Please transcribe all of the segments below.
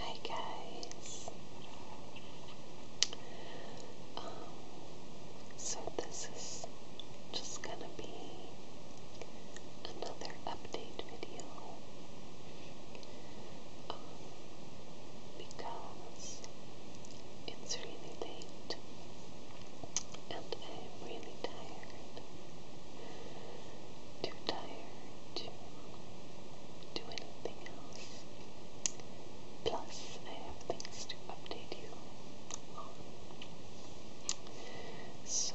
Hi guys. Um, so this is just gonna be another update video um, because it's really late and I'm really tired too tired to do anything else. Plus, I have things to update you So,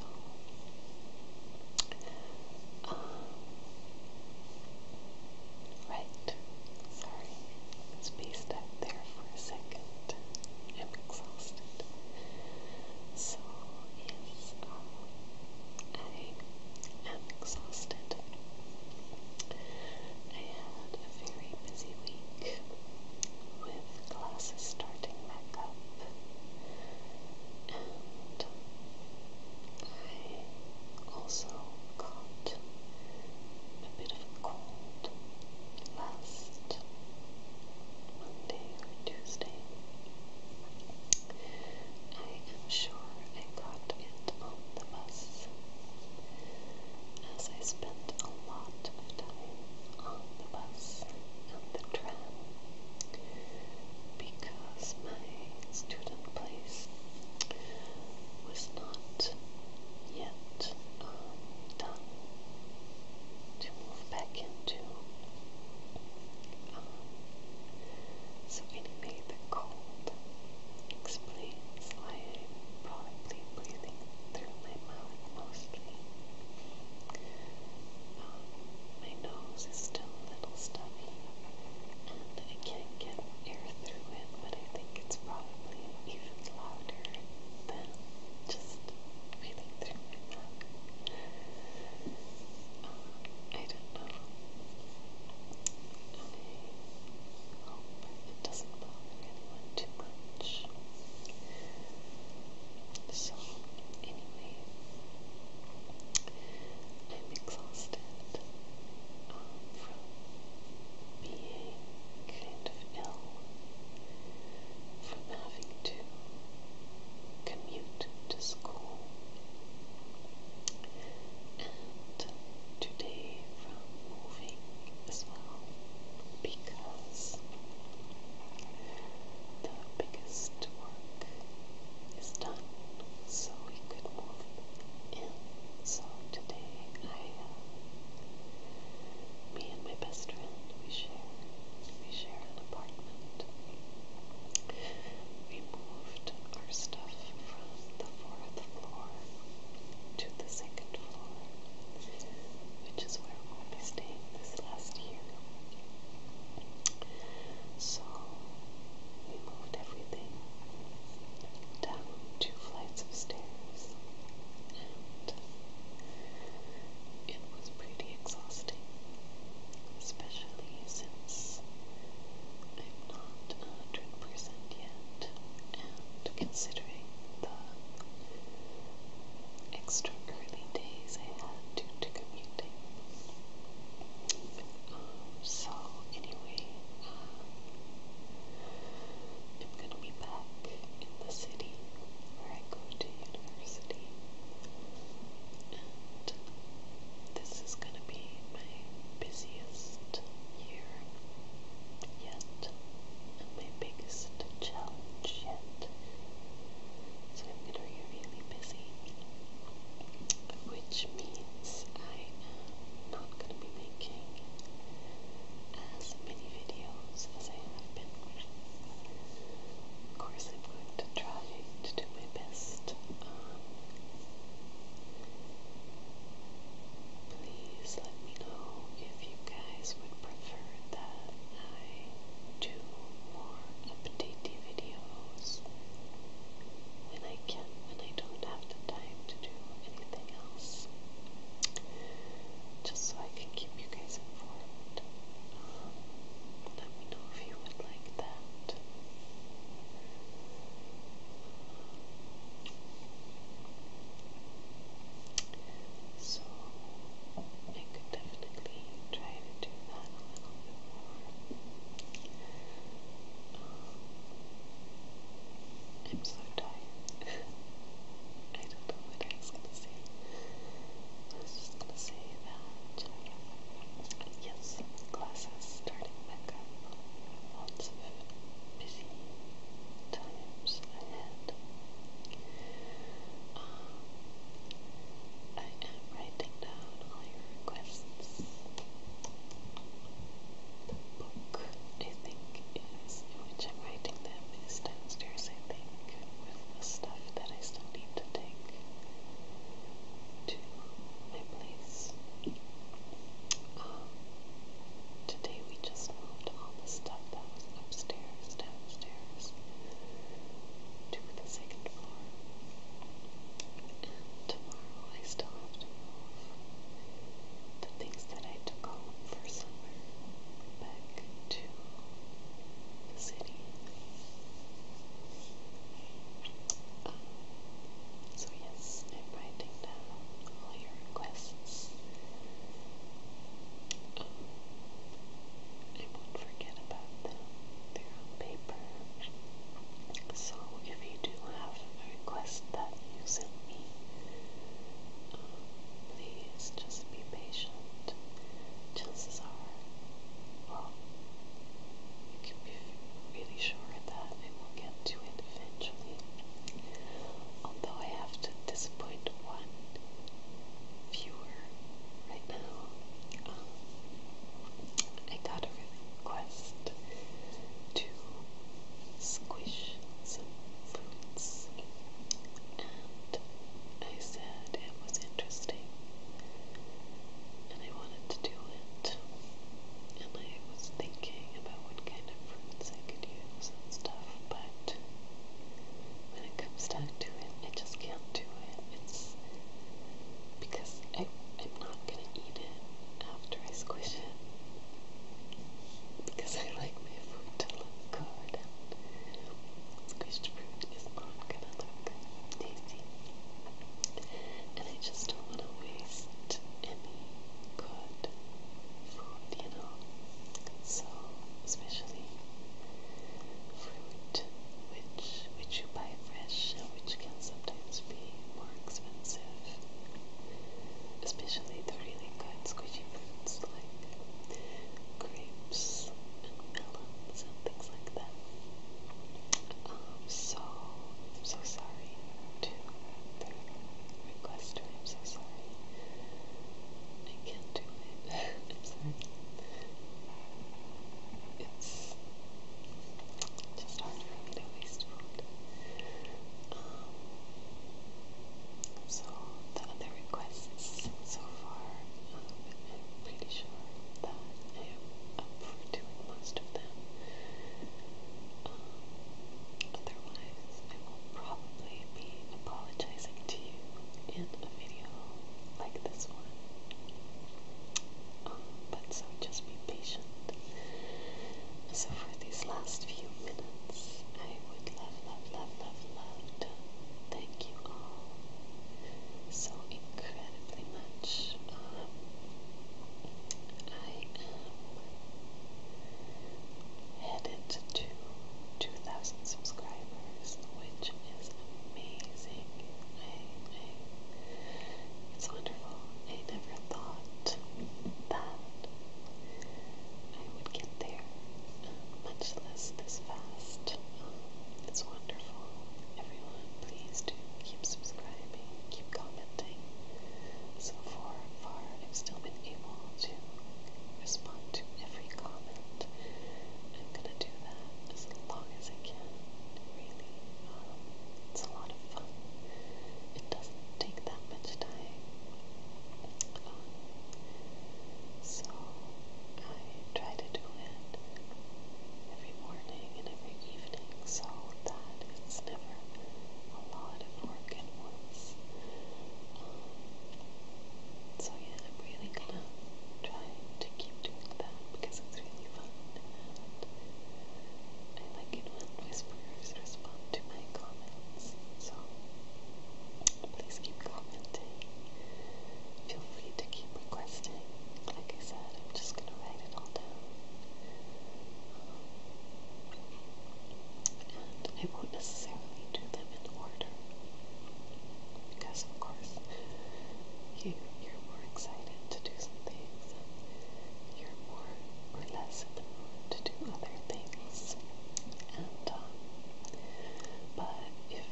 um, right, sorry, it's spaced out there for a second. I'm exhausted. So, yes, um, I am exhausted. I had a very busy week with classes starting back up, and I also caught a bit of a cold last Monday or Tuesday. I am sure I got it on the bus, as I spent a lot of time on the bus and the tram because my student place was not yet done to move back into. Um, so anyway, the cold explains why I'm probably breathing through my mouth mostly. Um, my nose is still a little stuffy, and I can't get air through it, but I think it's probably even louder than just breathing through I don't know. I hope it doesn't bother anyone too much. So, anyway, I'm exhausted from being kind of ill from having to commute to school. And today from moving as well because the biggest work is done so we could move in. So today I me and my best friend, we share, we share an apartment. We moved our stuff from the fourth floor to the second floor, which is where we'll be staying this last year. So we moved everything down two flights of stairs it was pretty exhausting, especially since I'm not a hundred percent yet, and considering the extra early days I had due to commuting. Um, so anyway, uh, I'm gonna be back in the city where I go to university. this is going to be my busiest year yet, and my biggest challenge yet. So I'm going to be really busy, which means I am not going to be making as many videos as I have been. Of course, I'm going to try to do my best. Um, please let me know if you guys would prefer that I do more updatey videos when I can, when I don't have the time to do anything else just so I can keep you guys informed. let me know if you would like that. So, I could definitely try to do that a little bit more. Um, I'm so tired. I don't know what I was gonna say. I was just gonna say that yes, class is starting back up. Lots of busy times ahead. Um, I am writing down all your requests the book, I think, is which I'm writing them downstairs, I think, with the stuff that I still need to take to my place. Um, today we just moved all the stuff that was upstairs, downstairs, to the second floor. I stopped the things that I took for summer back to the city. Um, so yes, I'm writing down all your requests. Um, I won't forget about them. They're on paper. So if you do have I request that you send me. please just be patient. Chances are, you can be really sure that I will get to it eventually. Although I have to disappoint one viewer right now. Um, I got a quest to squish some fruits, and I said it was interesting, and I wanted to do it, and I was thinking about what kind of fruits I could use and stuff, but when it comes down to it, I just can't do it. It's because I, I'm not gonna eat it after I squish it because I like my food to look good. Squished fruit is not gonna look tasty, and I just don't want to waste any good food, you know. So, especially fruit, which which you buy fresh which can sometimes be more expensive. Especially the really good squishy fruits like grapes and melons and things like that. Um, so, I'm so sorry to the requester. I'm so sorry. I can't do it. I'm sorry. It's just hard for waste food. Um, so the other requests so far, I'm pretty sure that I am up for doing most of them. Um, otherwise, I will probably be apologizing to you in a video like this one but so just be patient. So for these last few minutes, I would love, love, love, love, love thank you all so incredibly much. Um, I am headed to 2,000 subscribers, which is amazing. I, it's wonderful. I never thought that I would get there, much less this fast. it's wonderful. Everyone, please do keep subscribing, keep commenting. So far, I've still able to respond to every comment. I'm gonna do that as long as I can really, um, it's a lot of fun. It doesn't take that much time. Um, so I try to do it every morning and every evening so that it's never a lot of work at once. Um, so yeah, I'm really gonna trying to keep doing that because it's really fun. I like it when whisperers respond to my comments. So please keep commenting. Feel free to keep requesting. Like I said, I'm just gonna write it all down. and I won't necessarily do them in order because of course you you're more excited to do some things and you're more or less in the mood to do other things. And um, but if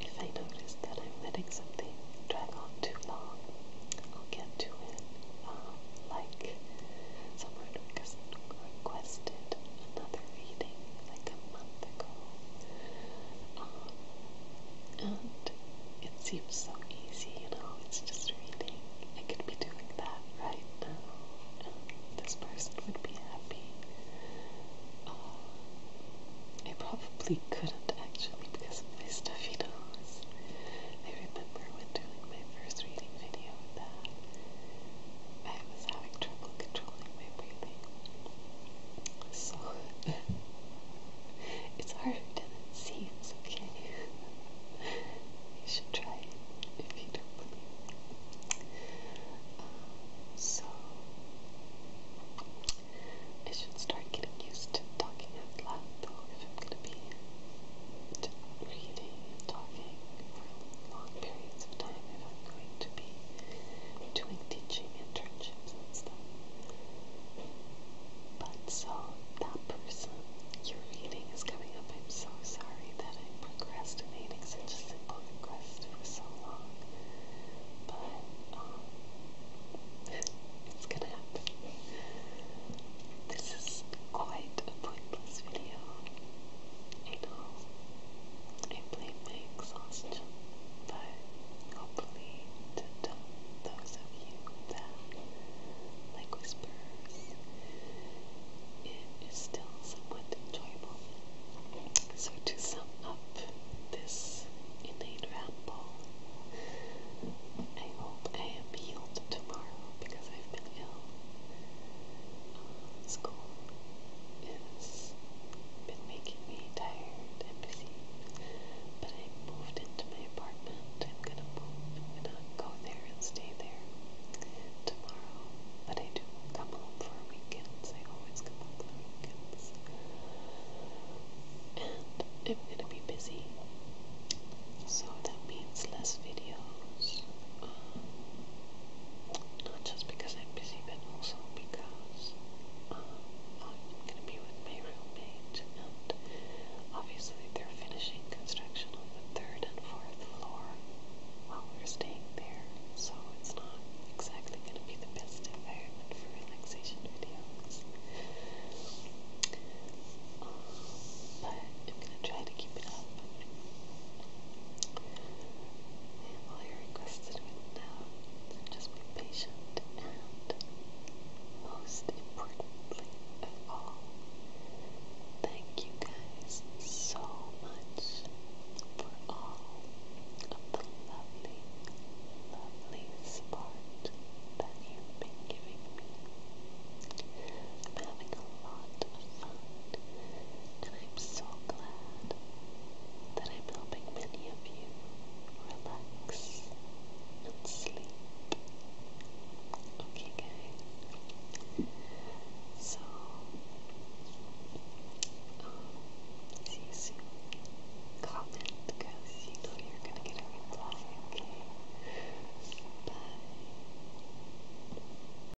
if I notice that I'm letting something drag on too long, I'll get to it. Um, like someone request, requested another reading like a month ago. Um, and it seems so easy, you know, it's just reading. I could be doing that right now, this person would be happy. Uh, I probably couldn't actually because of my stuffy nose. I remember when doing my first reading video that I was having trouble controlling my breathing so it's harder than it It's okay? you should try it if you don't um, so I should start getting used to talking out loud though if I'm gonna be reading and talking for long periods of time if I'm going doing teaching internships and stuff. But so that person you're reading is coming up. I'm so sorry that I'm procrastinating such a simple request for so long. But um, it's gonna happen. This is quite a pointless video. I know. I blame my exhaustion, but hopefully to those of you that, like whispers, it is still somewhat enjoyable. So to sum up this innate ramble, I hope I am healed tomorrow because I've been ill. Uh, school it's been making me tired and busy. But I moved into my apartment. I'm gonna move. I'm gonna go there and stay there tomorrow. But I do come home for weekends. I always come home for weekends. And I'm gonna be busy. So that means less videos. Um, not just because I'm busy, but also because um, I'm going to be with my roommate, and obviously they're finishing construction on the third and fourth floor while we're staying there, so it's not exactly going to be the best environment for relaxation videos. Um, but I'm going to try to keep it up. And you're requested now just be patient and, most importantly of all, thank you guys so much for all of the lovely, lovely support that you've been giving me. I'm having a lot and I'm so glad that I'm helping many of you relax and sleep. Okay, So, um, see you soon. Comment because you know you're gonna get a reply, okay? Bye.